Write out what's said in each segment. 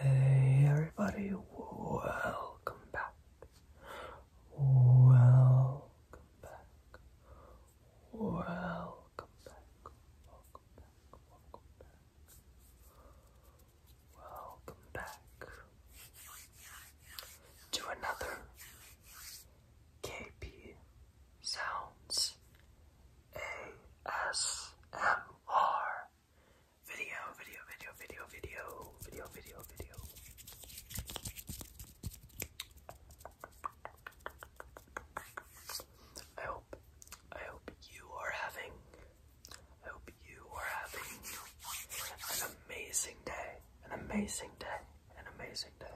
Hey everybody, welcome back. Welcome back. Welcome back. Welcome back. Welcome back to another KP Sounds ASMR video, video, video, video, video, video, video, video. I hope, I hope you are having, I hope hope you are having an amazing day, an amazing day, an amazing day,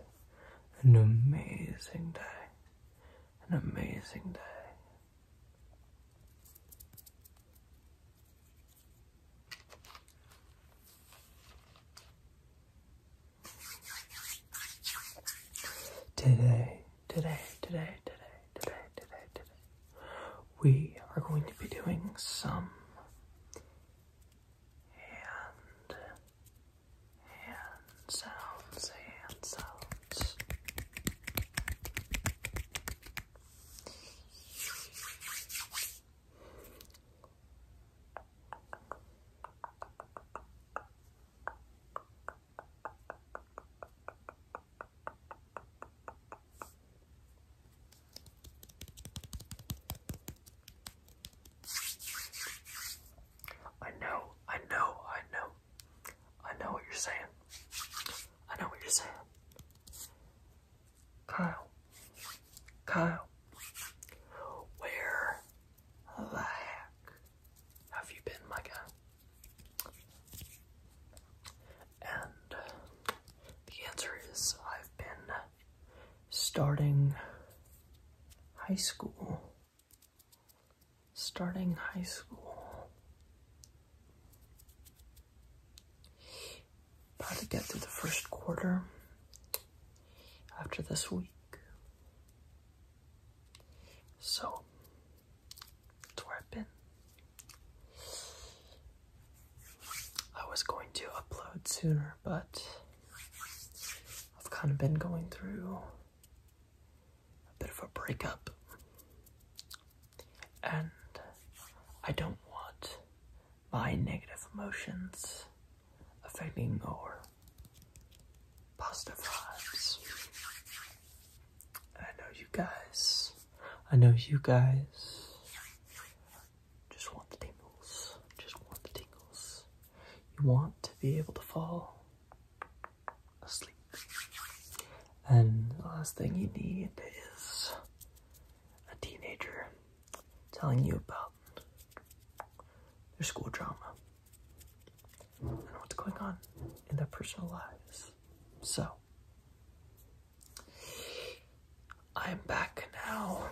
an amazing day, an amazing day. Today, today, today, today, today, today, today we are going to be doing some hand hand sounds, hand sounds. I know, I know, I know. I know what you're saying. I know what you're saying. Kyle, Kyle, where the heck have you been, my guy? And the answer is I've been starting high school. Starting high school. About to get through the first quarter after this week. So, where I've been. I was going to upload sooner, but I've kind of been going through a bit of a breakup, and I don't want my negative emotions affecting or positive vibes. I know you guys. I know you guys just want the tingles. Just want the tingles. You want to be able to fall asleep. And the last thing you need is a teenager telling you about their school drama and what's going on in their personal lives. So, I'm back now,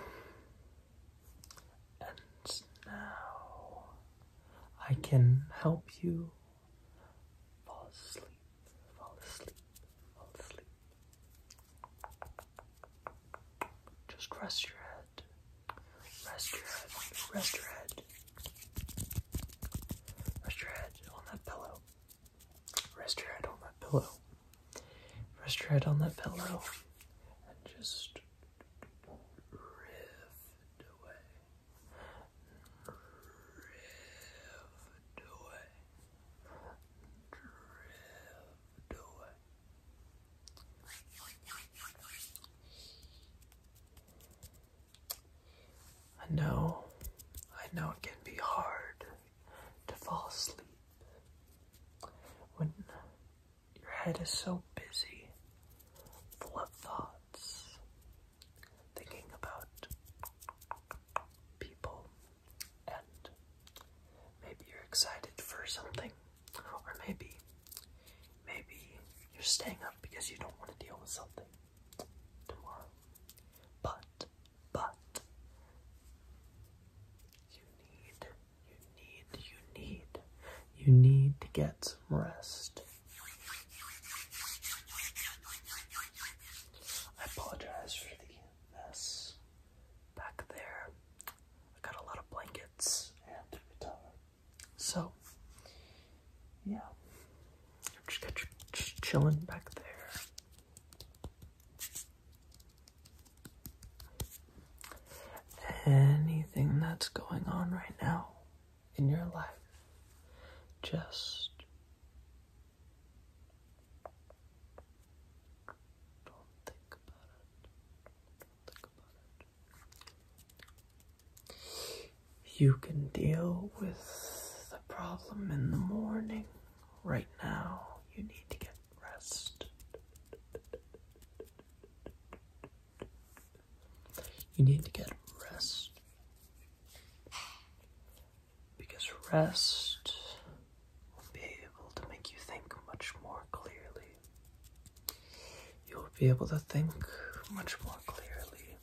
and now I can help you fall asleep, fall asleep, fall asleep. Just rest your head, rest your head, rest your head, rest your head on that pillow. Rest your head on that pillow. Rest your head on that pillow and just rift away. Drift away. Drift away. I know, I know it can be hard to fall asleep. When your head is so busy, full of thoughts, thinking about people, and maybe you're excited for something, or maybe, maybe you're staying up because you don't want to deal with something. But, but, you need, you need, you need, you need to get some rest. I apologize for the mess back there. I got a lot of blankets So, yeah, just got you just chilling back there. Anything that's going on right now in your life, just don't think about it. think about it you can deal with the problem in the morning. Right now, you need to get rest. You need to get rest. Because rest will be able to make you think much more clearly. You'll be able to think much more clearly.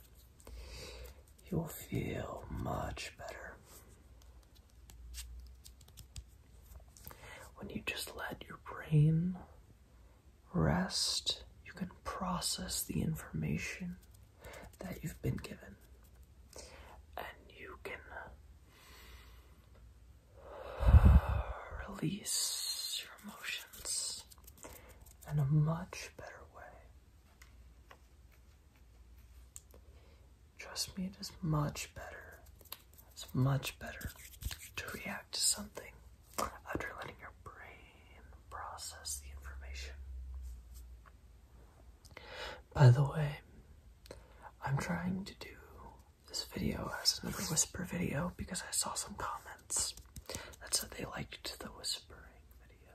You'll feel much better when you just let your brain rest. You can process the information that you've been given, and you can release your emotions in a much better way. Trust me, it is much better. It's much better to react to something after letting your brain process the information. By the way, I'm trying to do this video as another whisper video because I saw some comments that said they liked the whispering video.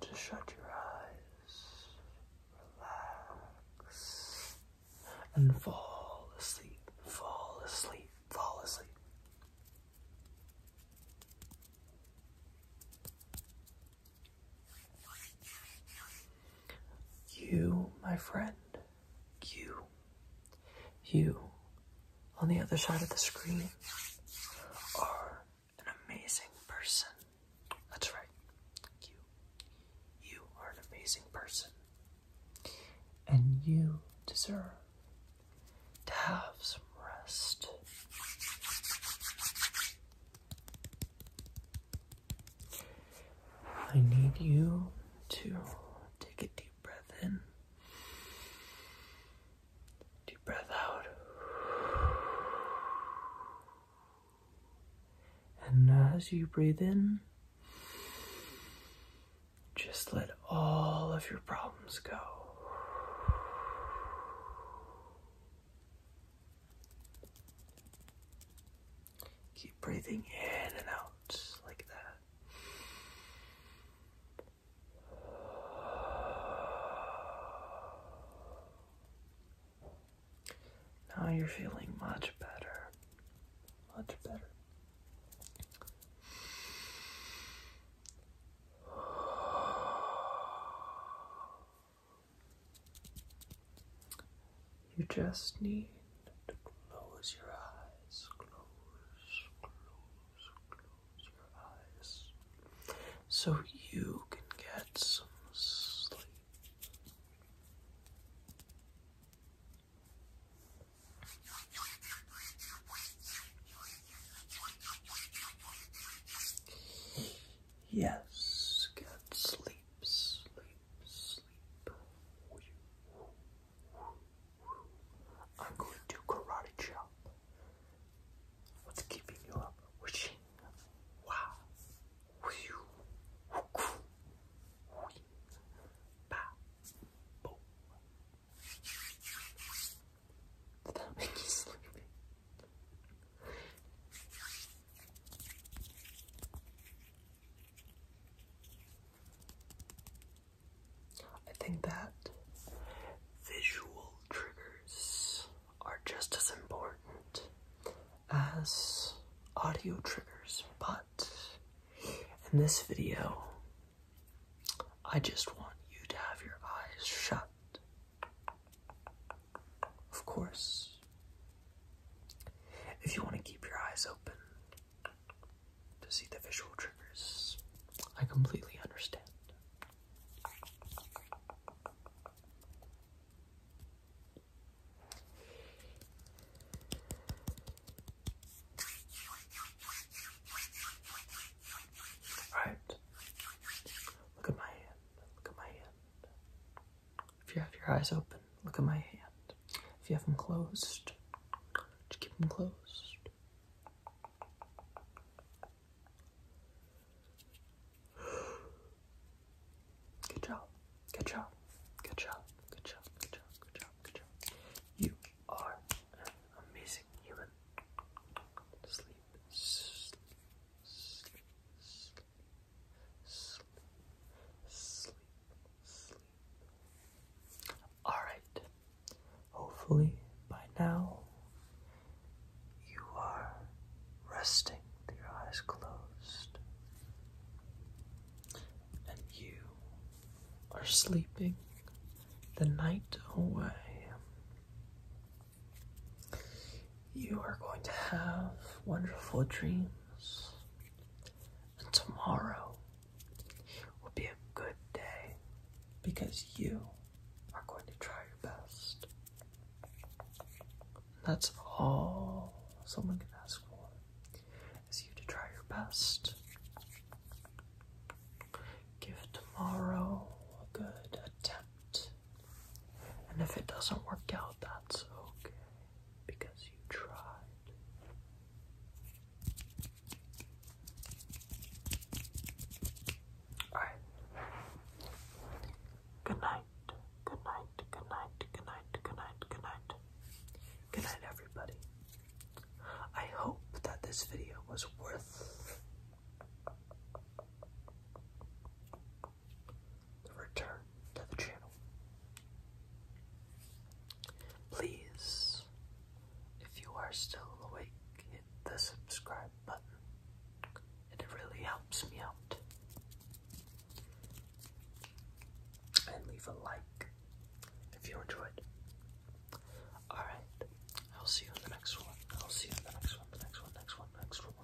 To shut your eyes, relax, and fall asleep, fall asleep, fall asleep. You, my friend, you, you on the other side of the screen are an amazing person. That's right. You. You are an amazing person. And you deserve to have some rest. I need you to take a deep breath in Deep breath out. And as you breathe in, just let all of your problems go. Keep breathing in and out like that. Now you're feeling much better. Much better. You just need to close your eyes. Close, close, close, so you can get some sleep. Yes, get sleep, sleep, sleep. I'm going to karate chop. What's keeping you up? Wishing. Wow. Whew. Whew. Whew. Bah. Boom. Did that make you sleepy? I think that visual triggers are just as important as audio triggers, but in this video, I just want you to have your eyes shut. Of course, if you want to keep your eyes open to see the visual triggers, I completely understand. Right. Look at my hand. Look at my hand. If you have your eyes open, look at my hand. If you have them closed, just keep them closed. Good job. Good job. Good job. Good job. Good job. Good job. Good job. You are an amazing human. Sleep. Sleep. Sleep. Sleep. Sleep. All right. Hopefully, by now, you are resting with your eyes closed and you are sleeping the night away. You are going to have wonderful dreams, and tomorrow will be a good day because you are going to try your best. And that's all someone can ask for is you to try your best. Give tomorrow a good attempt. And if it doesn't work out, that's okay because you tried. Alright. Good night. Good night. Good night. Good night. Good night. Good night. Good night, everybody. I hope that this video was worth the return to the channel. Please, if you are still awake, hit the subscribe button. It really helps me out. And leave a like if you enjoyed. Alright, I'll see you in the next one. I'll see you in the next one, next one, next one, next one.